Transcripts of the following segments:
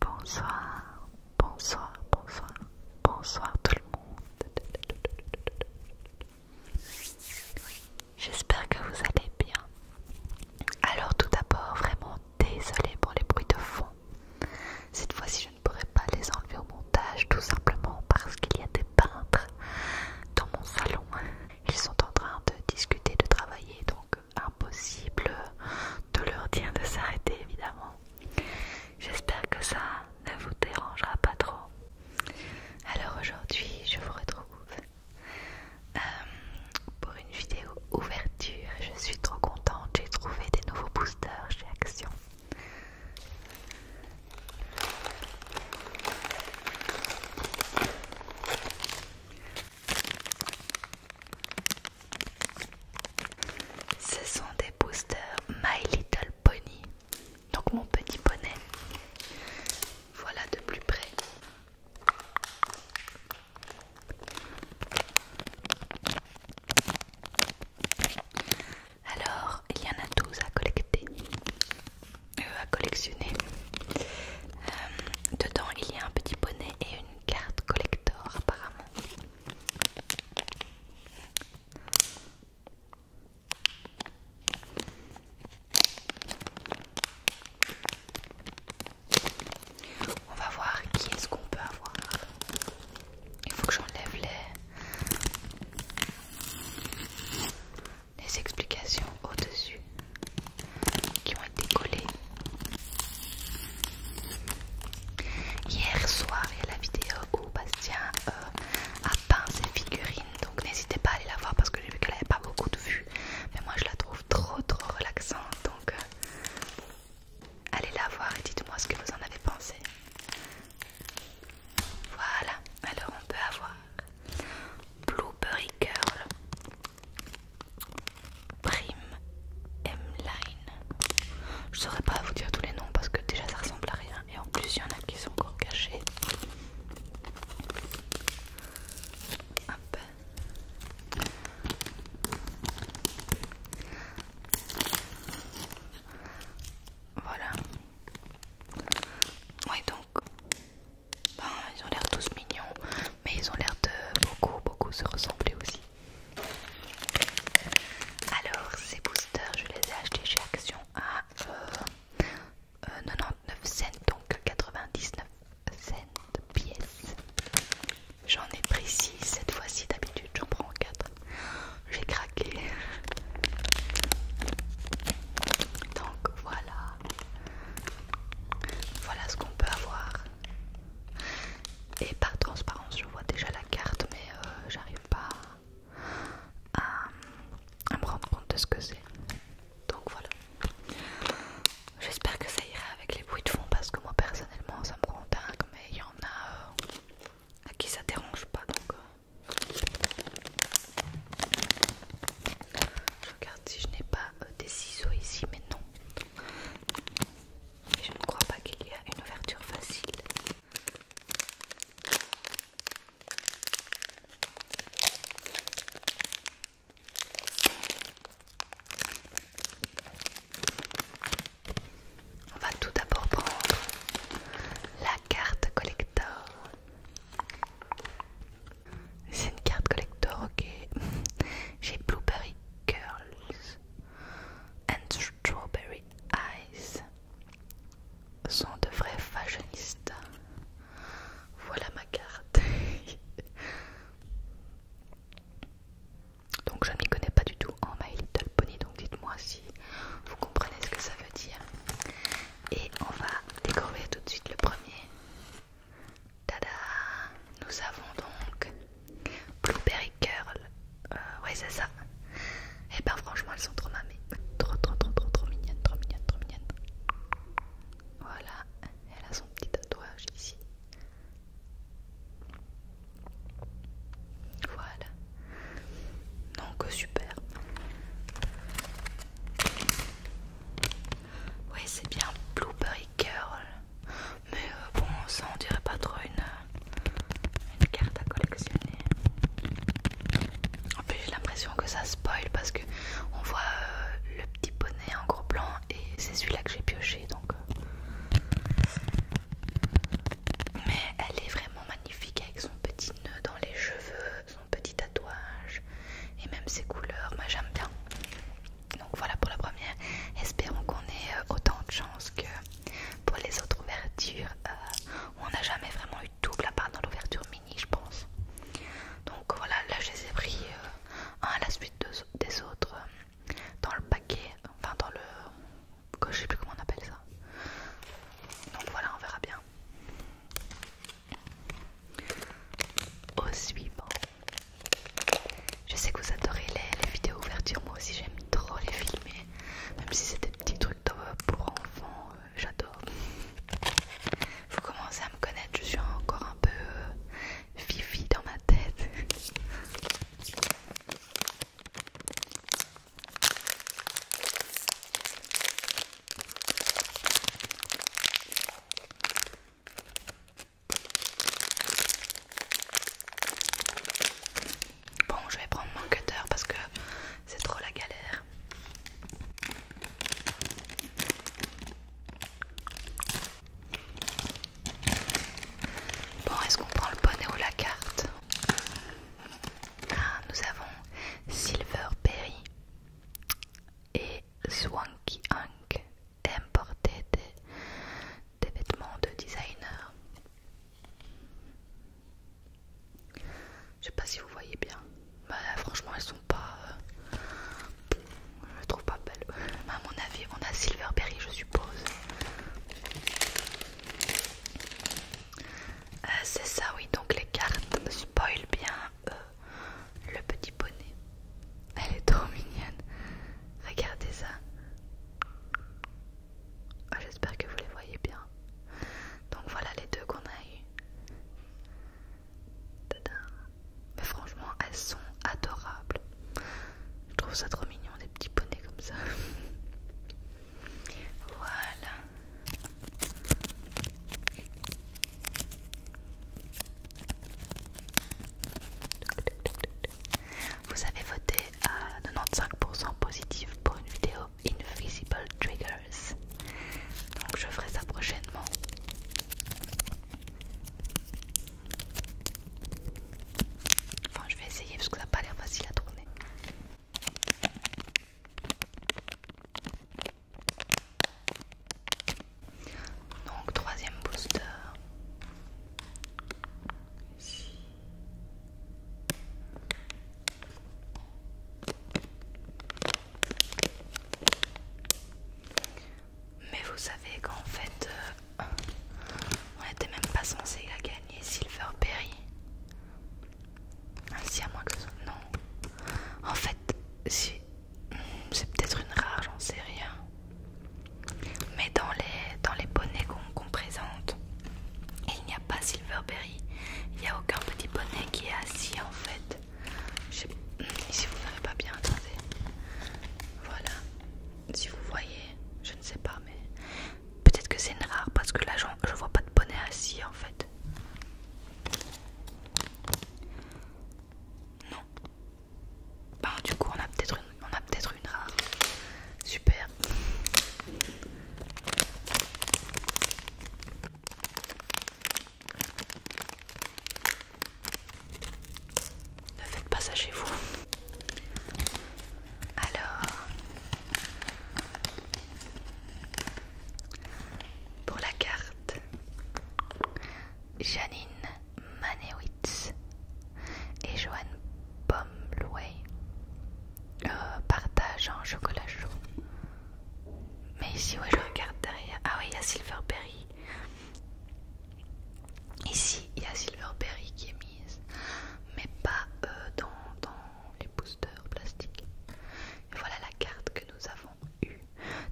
Bonsoir, bonsoir, bonsoir, bonsoir tout le monde. J'espère que vous allez bien. Alors tout d'abord, vraiment désolé pour les bruits de fond. Cette fois-ci, je ne pourrai pas les enlever au montage, tout simplement parce qu'il y a des peintres dans mon salon. Ils sont en train de discuter, de travailler, donc impossible de leur dire de s'arrêter, évidemment. J'espère que ça ne vous dérangera pas trop. Alors aujourd'hui, je vous retrouve euh, pour une vidéo ouverture. Je suis trop contente, j'ai trouvé des nouveaux boosters chez Action. Ce sont des boosters My Little pony, donc mon petit bonnet, Voilà de plus près. Alors, il y en a 12 à collecter, euh, à collectionner. Euh, dedans, il y a un petit bonnet et une carte collector apparemment. On va voir qui est-ce qu'on peut avoir. Il faut que j'enlève les... les explications au-dessus qui ont été collées. Hier soir, il y a la vidéo où Bastien euh, a peint ses figurines donc n'hésitez pas à aller la voir parce que j'ai vu qu'elle n'avait pas beaucoup de vues mais moi je la trouve trop trop relaxante donc euh, allez la voir et dites moi ce que vous en avez pensé voilà alors on peut avoir Blueberry Girl Prime M-Line je saurais pas vous dire tous les noms parce que déjà ça ressemble à rien et en plus il y en a qui sont encore cachés voilà. Oui donc, ben, ils ont l'air tous mignons, mais ils ont l'air de beaucoup, beaucoup se ressembler aussi. Alors ces boosters, je les ai achetés chez Action à 99 euh, cents, donc 99 cents pièces. J'en ai pris cette fois-ci, d'habitude j'en prends 4. J'ai craqué. Donc voilà. Voilà ce qu'on peut avoir. Et par transparence, je vois déjà la carte, mais euh, j'arrive pas euh, à, me rendre compte de ce que c'est. Donc voilà. J'espère que ça ira avec les bruits de fond parce que moi personnellement ça me rend dingue mais il y en a euh, à qui ça dérange pas donc euh. je regarde si je n'ai pas des ciseaux ici mais non je ne crois pas qu'il y a une ouverture facile on va tout d'abord prendre la carte collector. C'est une carte collector, ok. J'ai Blueberry Girls and Strawberry Eyes sont de vrais fashionistes. Voilà ma carte. donc je ne m'y connais pas du tout en My Little Pony, donc dites-moi si vous comprenez ce que ça veut dire. Et on va découvrir tout de suite le premier. Tada Nous avons donc Blueberry Curl, euh, c'est ça, et eh ben franchement elles sont trop mamées. Trop trop trop trop trop mignonnes, trop mignonnes, trop mignonnes. Voilà, elle a son petit tatouage ici. Voilà. Donc super. Oui c'est bien Blueberry Girl. Mais euh, bon ça on dirait pas trop une carte à collectionner. En plus j'ai l'impression que ça spoil parce que on voit euh, le petit bonnet en gros blanc et c'est celui-là que j'ai pioché donc euh. mais elle est vraiment magnifique avec son petit nœud dans les cheveux, son petit tatouage et même ses couleurs, moi j'aime bien. Donc voilà pour la première. Espérons qu'on ait euh, autant de chance que pour les autres ouvertures on n'a jamais vraiment eu double à part dans l'ouverture mini je pense donc voilà là je les ai pris euh, un à la suite des autres euh, dans le paquet enfin dans le je sais plus comment on appelle ça donc voilà on verra bien au suivant je sais que vous adorez les, vidéos ouverture, moi aussi j'aime trop les filmer même si c'est des petits trucs pour enfants j'adore. Vous commencez à me connaître, je suis encore un peu euh, fifi dans ma tête. Bon, je vais prendre mon cutter parce que c'est trop la galère. Bon, est-ce qu'on prend le bonnet ou la carte ah, Nous avons Silver Perry et Swanky Hank. importé des vêtements de designer. Je sais pas si vous voyez bien. Bah, franchement, elles sont pas. Euh, je les trouve pas belles. A mon avis, on a Silverberry, je suppose. Euh, c'est ça, oui. Donc, les cartes spoilent bien euh, le petit bonnet Elle est trop mignonne. Regardez ça. Ah, j'espère que vous les voyez bien. Donc voilà les deux qu'on a eu. Mais franchement, elles sont adorables. Je trouve ça trop mignon, des petits poneys comme ça. voilà. Vous avez voté à 95% positif pour une vidéo Invisible Triggers. Donc je ferai ça prochainement. Enfin je vais essayer parce que ça n'a pas l'air facile à tourner. Donc troisième booster. Mais vous savez qu'en fait, euh, on n'était même pas censé gagner gagner Silverberry. Ah, si à moins que ce... Non. En fait, c'est peut-être une rare, j'en sais rien. Mais dans les, dans les bonnets qu'on présente, il n'y a pas Silverberry. Il n'y a aucun petit bonnet qui est assis en fait. Si vous voyez pas bien, attendez. Voilà. Si vous voyez, je ne sais pas, mais peut-être que c'est une rare parce que là je vois pas de bonnet assis en fait. Non. Bah, du coup on a peut-être on a peut-être une rare. Super. Ne faites pas ça chez vous. Alors, pour la carte, Janine Manewitz et Joanne Bombleway. Euh, partage en chocolat chaud. Mais ici, ouais, je regarde derrière. Ah oui, il y a Silverberry. Ici, il y a Silverberry qui est mise, mais pas euh, dans, les boosters plastiques. voilà la carte que nous avons eue.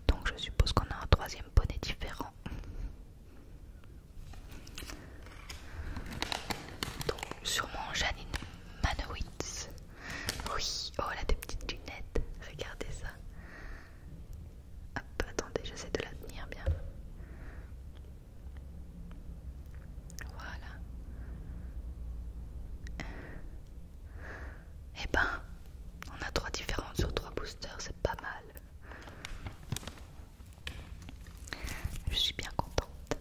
Donc, je suppose qu'on a un troisième bonnet différent. Donc, sûrement Janine. Manowitz. Oui, oh la des petites lunettes. Regardez ça. Hop, attendez, j'essaie de la bien. Voilà. Eh ben, on a trois différentes sur trois boosters, c'est pas mal. Je suis bien contente.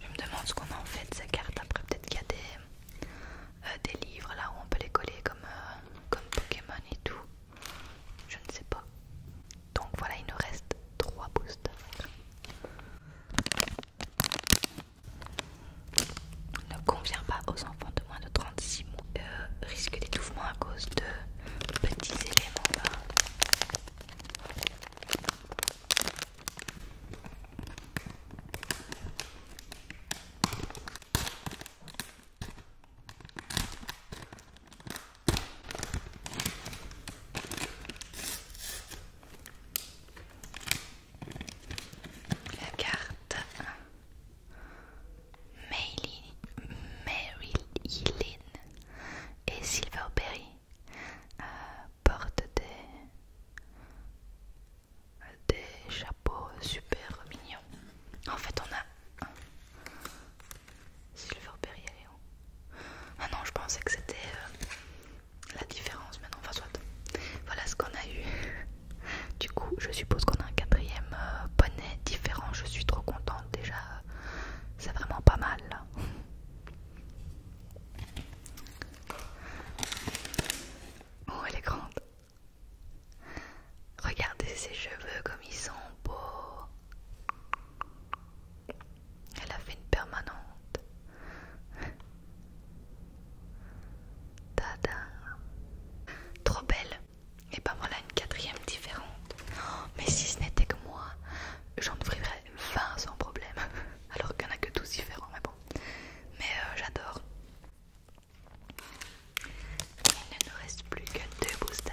Je me demande ce qu'on a en fait de ces cartes. Après, peut-être qu'il y a des, euh, livres là où on peut les coller euh, comme, Pokémon et tout. Je ne sais pas. Donc voilà, il nous reste 3 boosters. Ne convient pas aux enfants moins de 36 mois euh, risque d'étouffement à cause de petits éléments. La carte Mary et Silverberry euh, portent des, chapeaux super mignons. En fait, on a Silverberry, et Ah non, je pensais que c'était euh, la différence, mais non, enfin soit. Voilà ce qu'on a eu. Du coup, je suppose qu'on a un quatrième bonnet euh, différent. Je suis trop contente déjà. Euh, c'est vraiment pas mal. Oh, elle est grande. Regardez ses cheveux comme ils sont beaux. Elle a fait une permanente. Tada. Trop belle. Et ben voilà une quatrième différente. Oh, mais si ce n'était que moi, j'en offrirais 20 sans problème. Alors qu'il n'y en a que 12 différents, mais bon. Mais euh, j'adore. Il ne nous reste plus que deux boosters.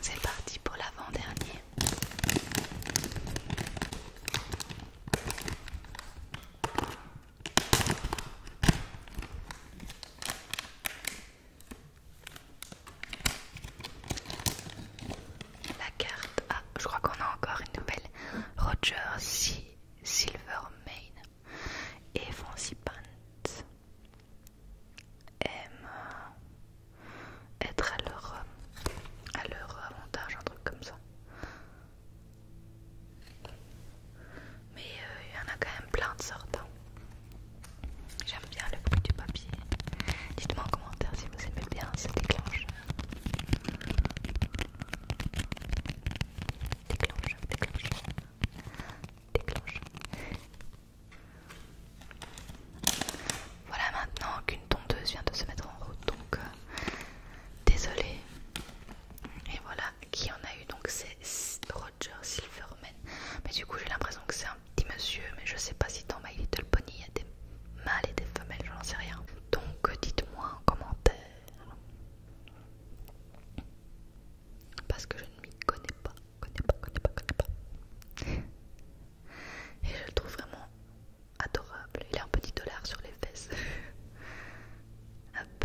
C'est parti pour l'avant-dernier. La carte. A, je crois qu'on a encore une nouvelle. Roger si. Silver Silvermane et Fancy aiment être à leur, à avantage, un truc comme ça. Mais euh, il y en a quand même plein de sortes. Hein. J'aime bien le bruit du papier. Dites-moi en commentaire si vous aimez bien ce déclencheur. Déclenche, déclenche, déclenche. Voilà maintenant qu'une tondeuse vient de se mettre en route, donc désolée. Euh, désolé. Et voilà qui en a eu, donc c'est Roger Silverman. Mais du coup j'ai l'impression que c'est un petit monsieur, mais je sais pas si dans My Little Pony il y a des mâles et des femelles, je n'en sais rien. Donc dites-moi en commentaire parce que je ne m'y connais pas, connais pas, connais pas, connais pas. Et je le trouve vraiment adorable. Il a un petit dollar sur les fesses. Hop.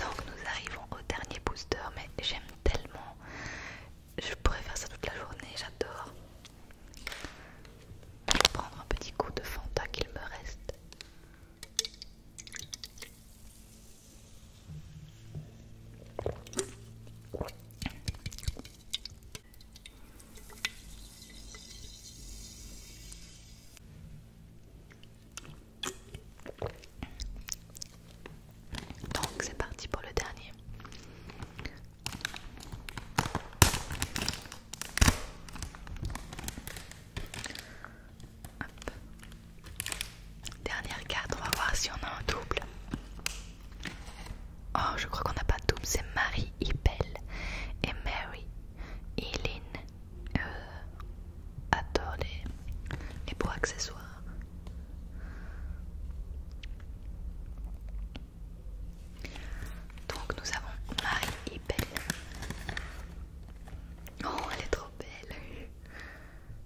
Donc nous arrivons au dernier booster, mais j'aime tellement. Je pourrais faire ça toute la journée, j'adore. Je prendre un petit coup de Fanta qu'il me reste. Donc c'est parti pour le dernier. Dernière carte, on va voir si on a un double. Oh, je crois qu'on n'a pas de double, c'est Marie Belle et Mary Eileen. Euh, adore les, les beaux accessoires. Donc nous avons Marie et Belle. Oh, elle est trop belle.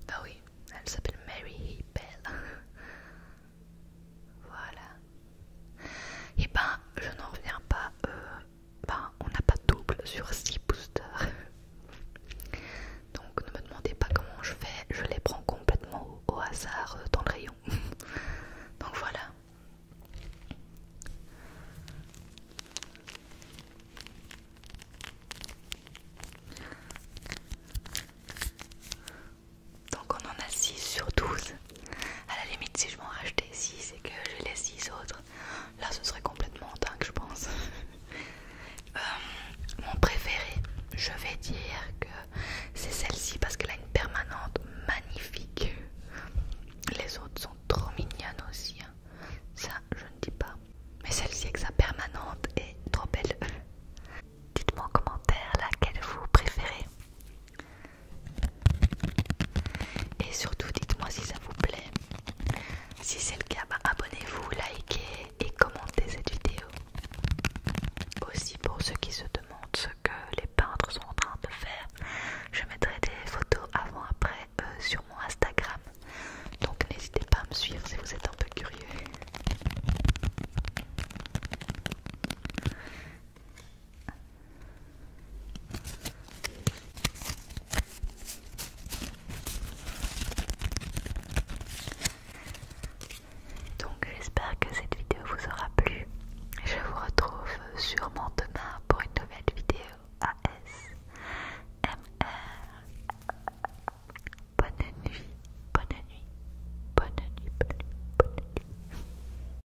Bah oui, elle s'appelle Mary et Voilà. Et eh ben, je n'en reviens pas. Euh, ben, on n'a pas double sur 6 boosters. Donc ne me demandez pas comment je fais, je les prends complètement au, hasard euh, dans le rayon. Donc voilà. Donc on en a 6 sur 12. À la limite si je m'en rachetais 6 et que j'ai les 6 autres, là ce serait complètement dingue je pense. Euh, mon préféré, je vais dire que euh, c'est celle-ci parce qu'elle a une permanente magnifique. Les autres sont trop mignonnes aussi. Hein. Ça, je ne dis pas. Mais celle-ci avec sa permanente est trop belle. Dites-moi en commentaire laquelle vous préférez. Et surtout, dites-moi si ça vous plaît. Si c'est le cas, bah, abonnez-vous, likez et commentez cette vidéo. Aussi pour ceux qui se demandent que les peintres sont en train de faire. Je mettrai des photos avant-après euh, sur mon Instagram. Donc n'hésitez pas à me suivre si vous êtes un peu curieux. Donc j'espère que cette vidéo vous aura plu. Je vous retrouve sûrement demain pour une nouvelle vidéo ASMR. Bonne nuit, bonne nuit, bonne nuit, bonne nuit, bonne nuit.